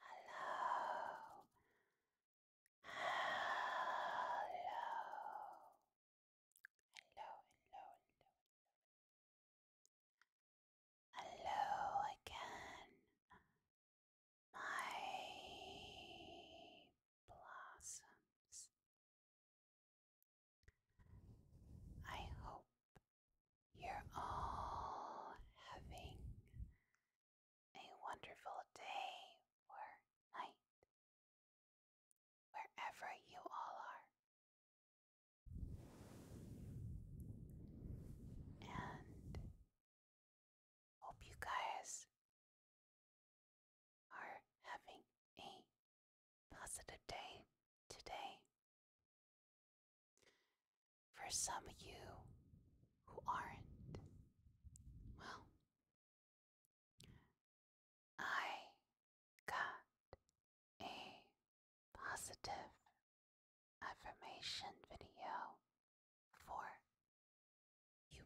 Hello. Hello. Hello, hello, hello. Hello again, my blossoms. I hope you're all having a wonderful day or night, wherever you all are. And hope you guys are having a positive day today for some of you who aren't, well, I got a positive affirmation video for you.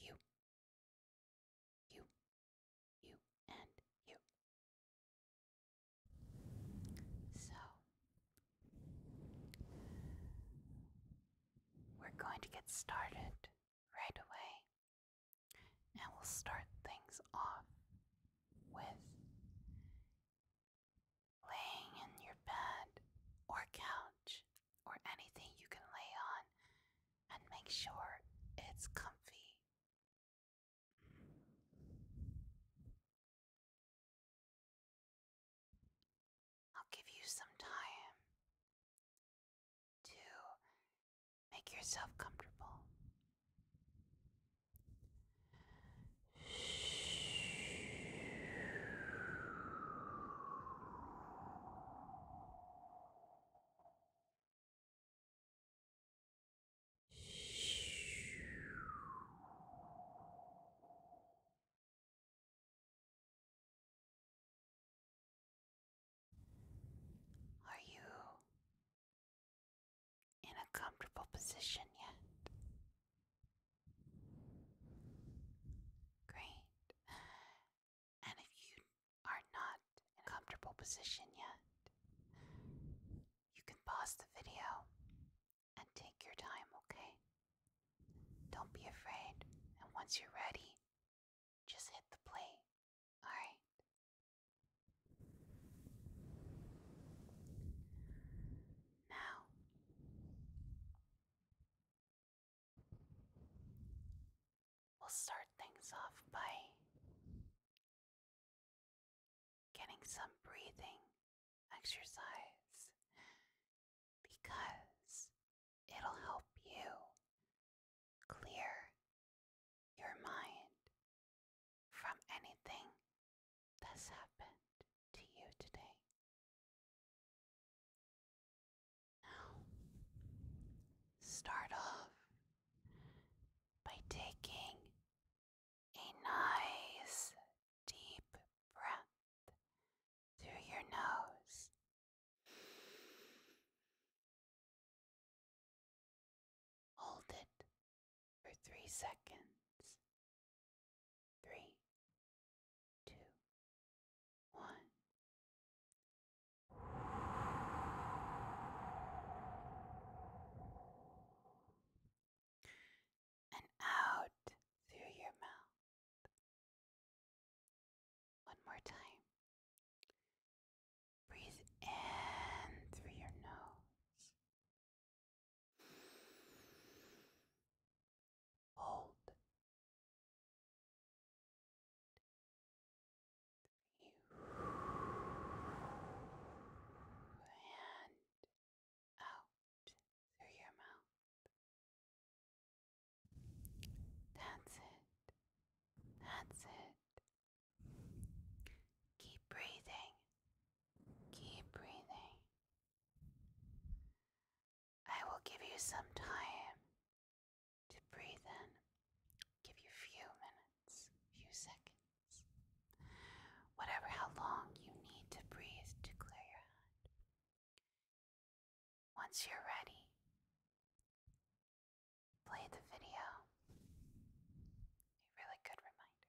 You, you, you, and you. So, we're going to get started right away, and we'll start things off with laying in your bed or couch or anything you can lay on and make sure it's comfy I'll give you some time to make yourself comfortable. Are you in a comfortable position yet? Great. And if you are not in comfortable position yet, you can pause the video and take your time, okay? Don't be afraid, and once you're ready, just hit the play. Alright? Now, we'll start things off by getting some breathing exercise because it'll help you clear your mind from anything that's happened to you today. Now, start off by taking a nice deep breath through your nose. Hold it for three seconds. Three, two, one and out through your mouth. One more time. Breathe in through your nose. Hold. and out through your mouth. That's it. That's it. Keep breathing. Keep breathing. I will give you some time to breathe in. Give you a few minutes, a few seconds whatever how long you need to breathe to clear your head. Once you're ready, play the video. A really good reminder.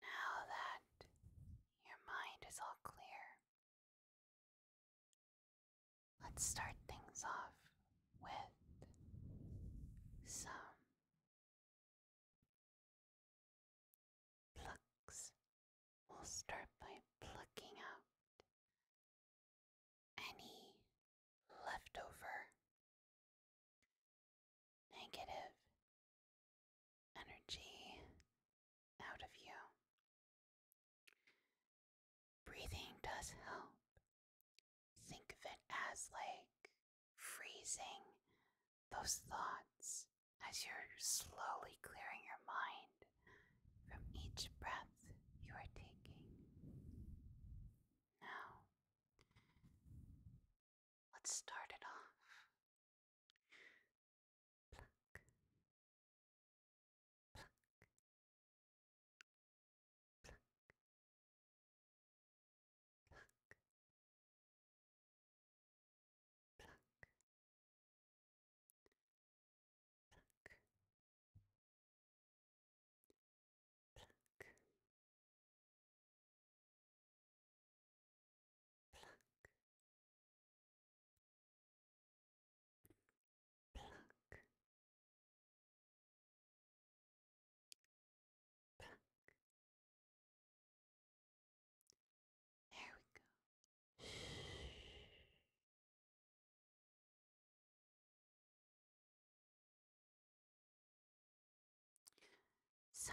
Now that your mind is all clear, let's start things off with some plucks. We'll start by plucking out any leftover negative energy out of you. Breathing does help. Think of it as like freezing those thoughts as you're slowly clearing your mind from each breath you are taking. Now, let's start it off. Pluck, pluck, pluck, pluck, pluck pluck, pluck, pluck, pluck, pluck. There we go. So,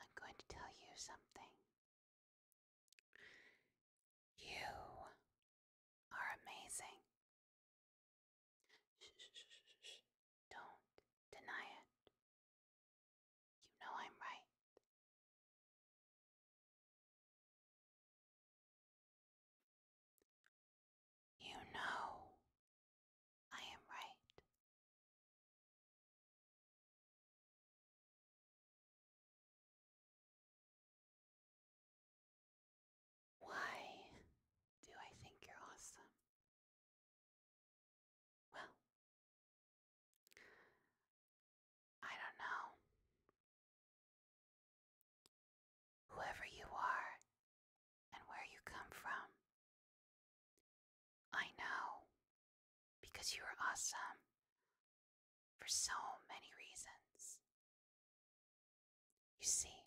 I'm going to tell you something. You are amazing. Don't deny it. You know I'm right. You know I am right. Why do I think you're awesome? Well, I don't know. Whoever you are and where you come from, I know because you are awesome for so many reasons. You see,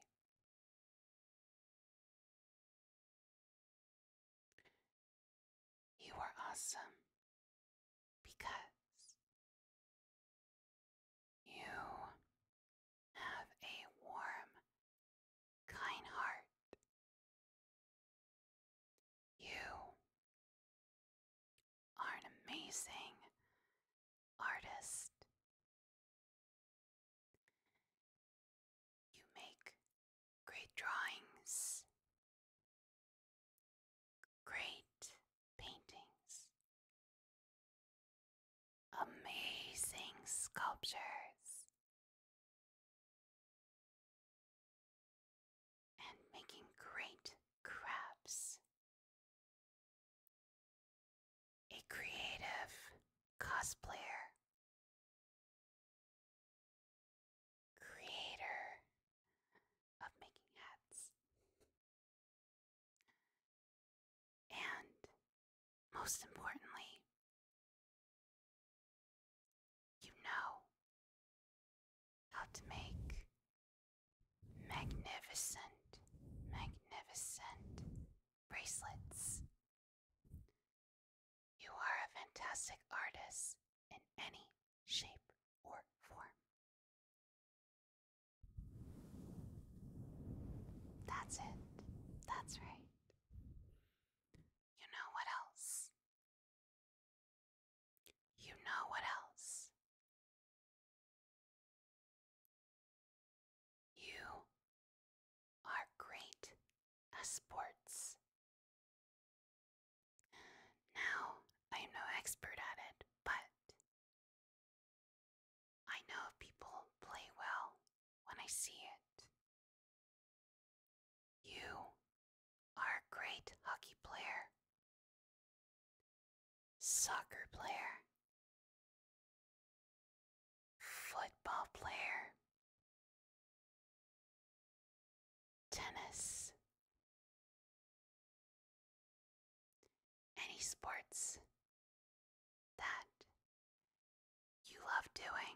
you are awesome because you have a warm, kind heart. You are an amazing artist. You make great drawings, great paintings, amazing sculptures, and making great crafts. A creative cosplayer creator of making hats. And most importantly, you know how to make magnificent, magnificent bracelets you are a fantastic artist in any shape or form. That's it. That's right. You know what else? You know what else? You are great at sports now, I am no expert at it, but I know people play well when I see it. You are a great hockey player, soccer player, football player, tennis, any sports that you love doing,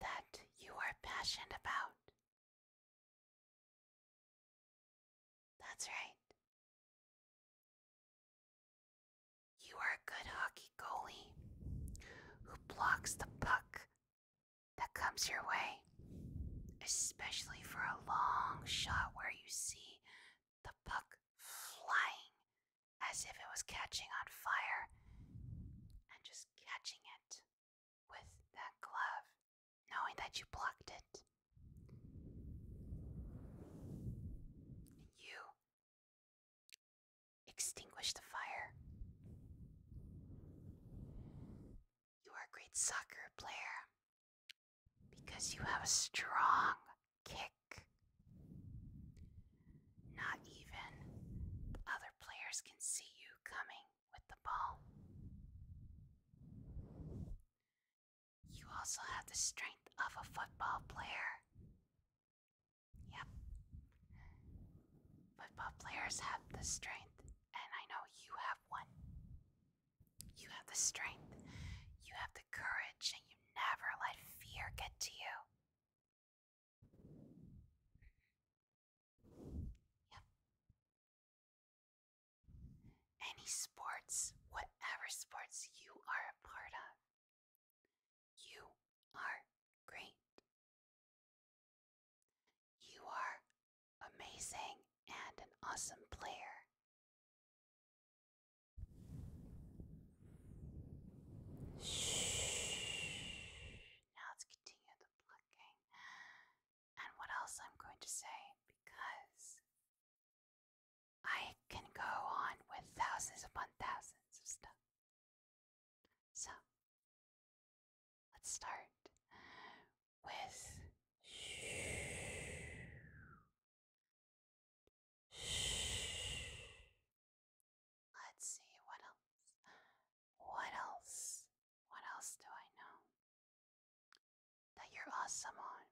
that you are passionate about. That's right. You are a good hockey goalie who blocks the puck that comes your way, especially for a long shot where you see the puck flying as if it was catching on fire and just catching it with that glove, knowing that you blocked it. you Extinguish the fire. You are a great soccer player because you have a strong kick. Not even other players can see you coming with the ball. You also have the strength of a football player Yep. Football players have the strength, and I know you have one. You have the strength, you have the courage, and you never let fear get to you. Yep. Any sports, whatever sports you are a part of, you are great. You are amazing and an awesome player. Shh. Now let's continue the plucking. And what else I'm going to say because I can go on with thousands upon thousands of stuff. So let's start with let's see what else what else what else do I know that you're awesome on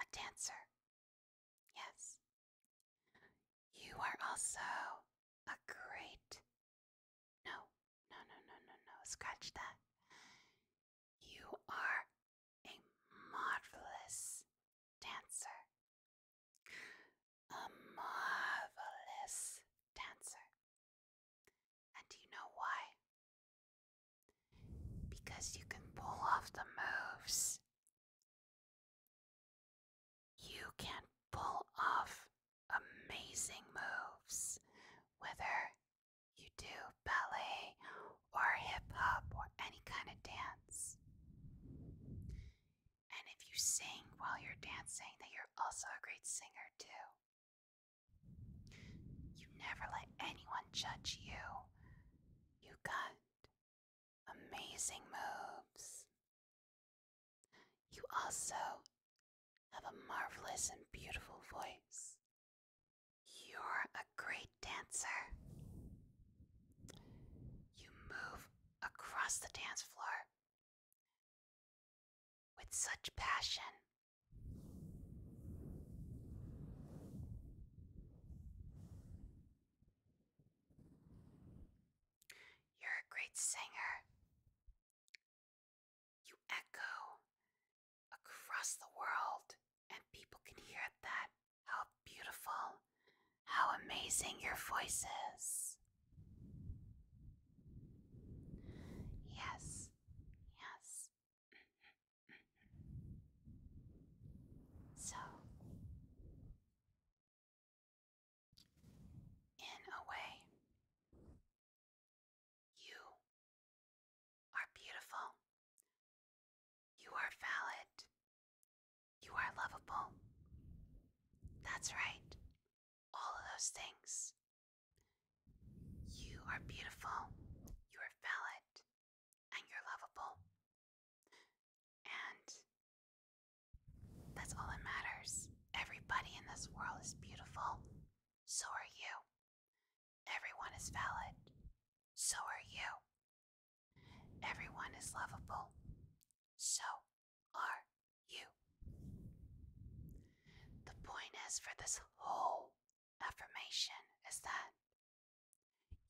a dancer. Yes. You are also a great. No, no, no, no, no, no. Scratch that. You are a marvelous dancer. A marvelous dancer. And do you know why? Because you can pull off the moves. You can pull off amazing moves, whether you do ballet or hip hop or any kind of dance. And if you sing while you're dancing, then you're also a great singer too. You never let anyone judge you you got amazing moves. You also have a marvelous and beautiful voice. You're a great dancer. You move across the dance floor with such passion. You're a great singer. You echo across the world, and people can hear that. How beautiful, how amazing your voice is. Yes, yes, so, in a way, you are beautiful, you are valid, you are lovable. That's right, all of those things. You are beautiful, you are valid, and you're lovable. And that's all that matters. Everybody in this world is beautiful. So are you. Everyone is valid. So are you. Everyone is lovable. So are you. The point is for this whole affirmation is that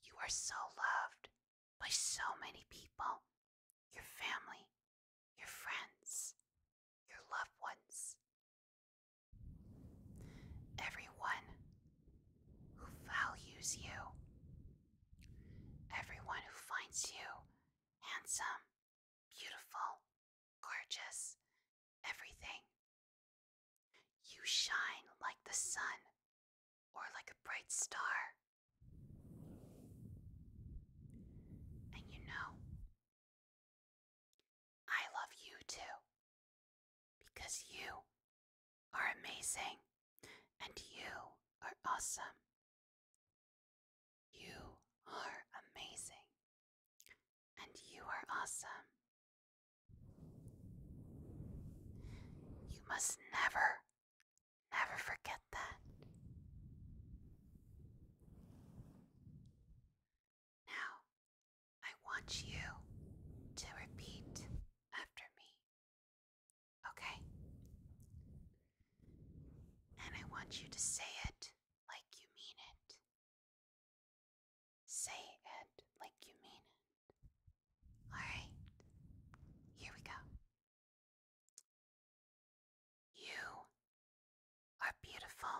you are so loved by so many people your family, your friends, your loved ones. Everyone who values you, everyone who finds you handsome, beautiful, gorgeous, everything. You shine like the sun or like a bright star. And you know, I love you too because you are amazing and you are awesome. You are amazing. And you are awesome. You must never, never forget that. Now, I want you to repeat after me. Okay? And I want you to say it like you mean it. Say it like you mean it. Alright, here we go. You are beautiful.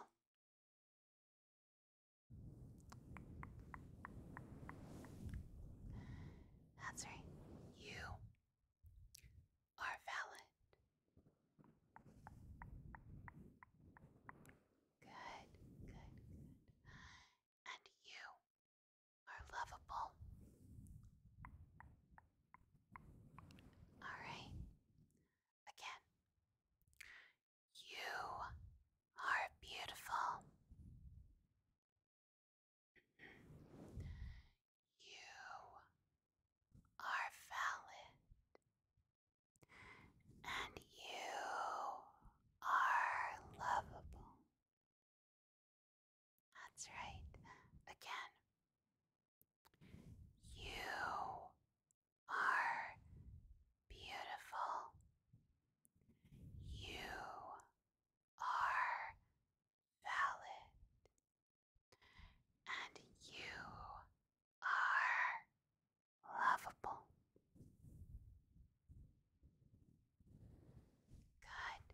That's right. You are valid. Good, good, And you are lovable. Alright. Again. You are beautiful. you are valid and you are lovable. That's right. Again, you are beautiful. You are valid. And you are lovable. Good,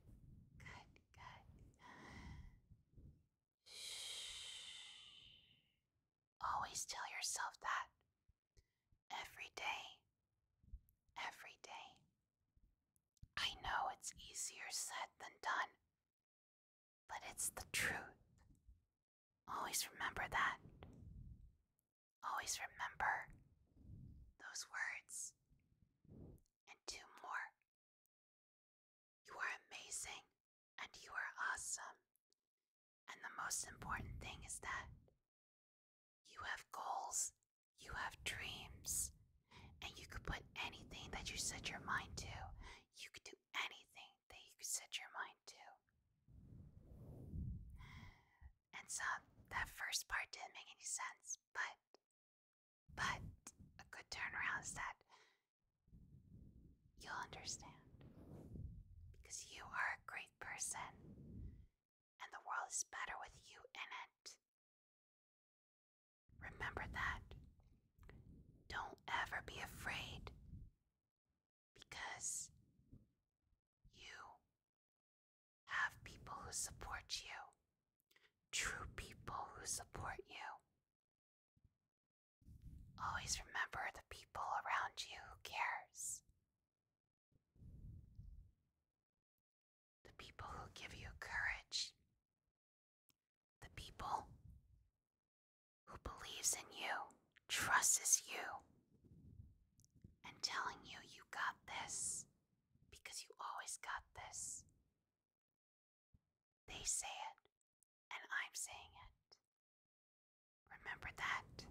good, good. Shh. Always tell yourself that every day, every day. I know it's easier said than done, but it's the truth. Always remember that. Always remember those words. And two more. You are amazing and you are awesome. And the most important thing is that you have goals, you have dreams, and you could put anything that you set your mind to. You could do anything that you set your mind to. And so that first part didn't make any sense, but but a good turnaround is that you'll understand. Because you are a great person and the world is better with you in it. Remember that. Don't ever be afraid because you have people who support you, true people who support you. Always remember the people around you who cares. The people who give you courage. The people who believes in you, trusts you, and telling you you got this because you always got this. They say it, and I'm saying it. Remember that.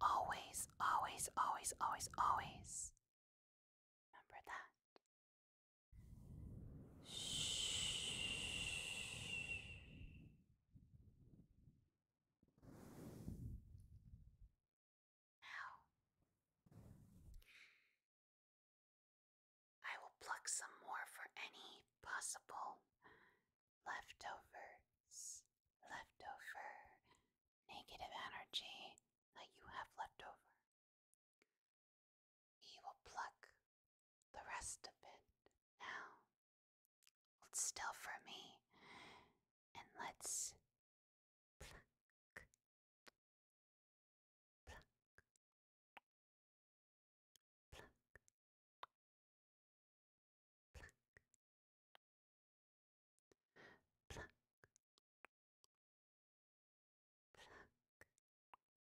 Always, always, always, always, always. Remember that. Shh. Now, I will pluck some more for any possible leftovers, leftover negative energy that you have left over. He will pluck the rest of it now. Hold still for me and let's pluck, pluck, pluck, pluck, pluck. Pluck,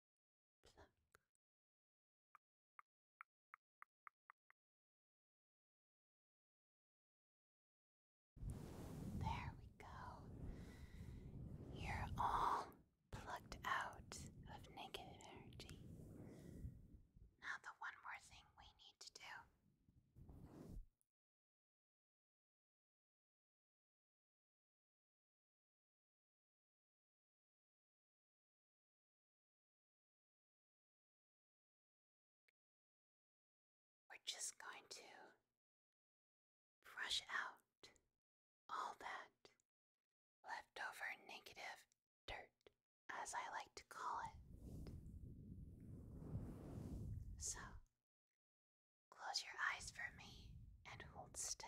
Pluck. There we go. You're all plucked out of negative energy. Now, the one more thing we need to do we're just going to brush out all that leftover negative dirt, as I like to call it. So, close your eyes for me and hold still.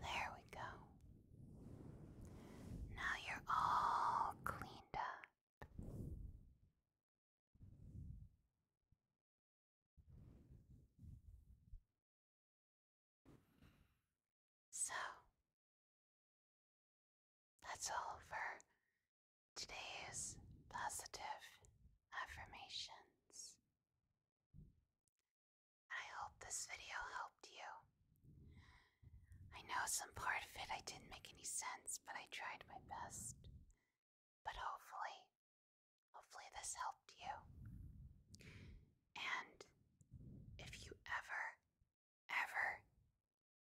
There we go. Now you're all cleaned up. So, that's all for today's positive affirmations. I hope this video helped you. I know some part of it I didn't make any sense, but I tried my best. But hopefully, hopefully this helped you. And if you ever, ever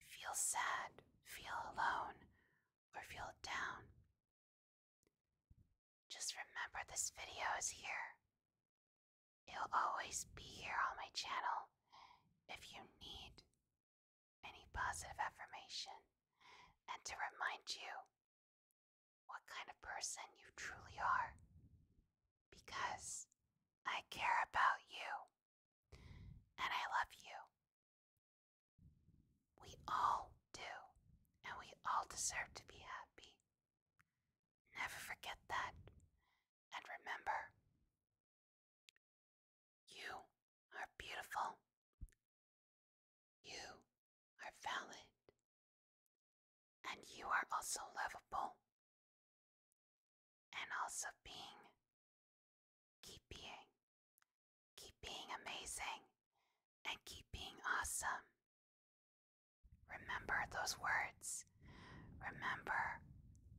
feel sad, feel alone, or feel down, just remember this video is here. It'll always be here on my channel if you need any positive affirmation and to remind you what kind of person you truly are. Because I care about you and I love you. We all do, and we all deserve to be happy. Never forget that. And remember, you are beautiful. You are valid. And you are also lovable. And also being. Keep being. Keep being amazing and keep being awesome. Remember those words. Remember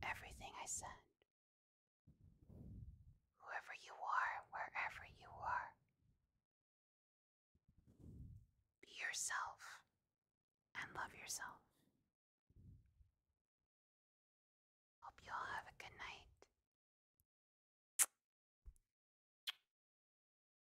everything I said. Whoever you are, wherever you are, be yourself and love yourself. Hope you all have a good night.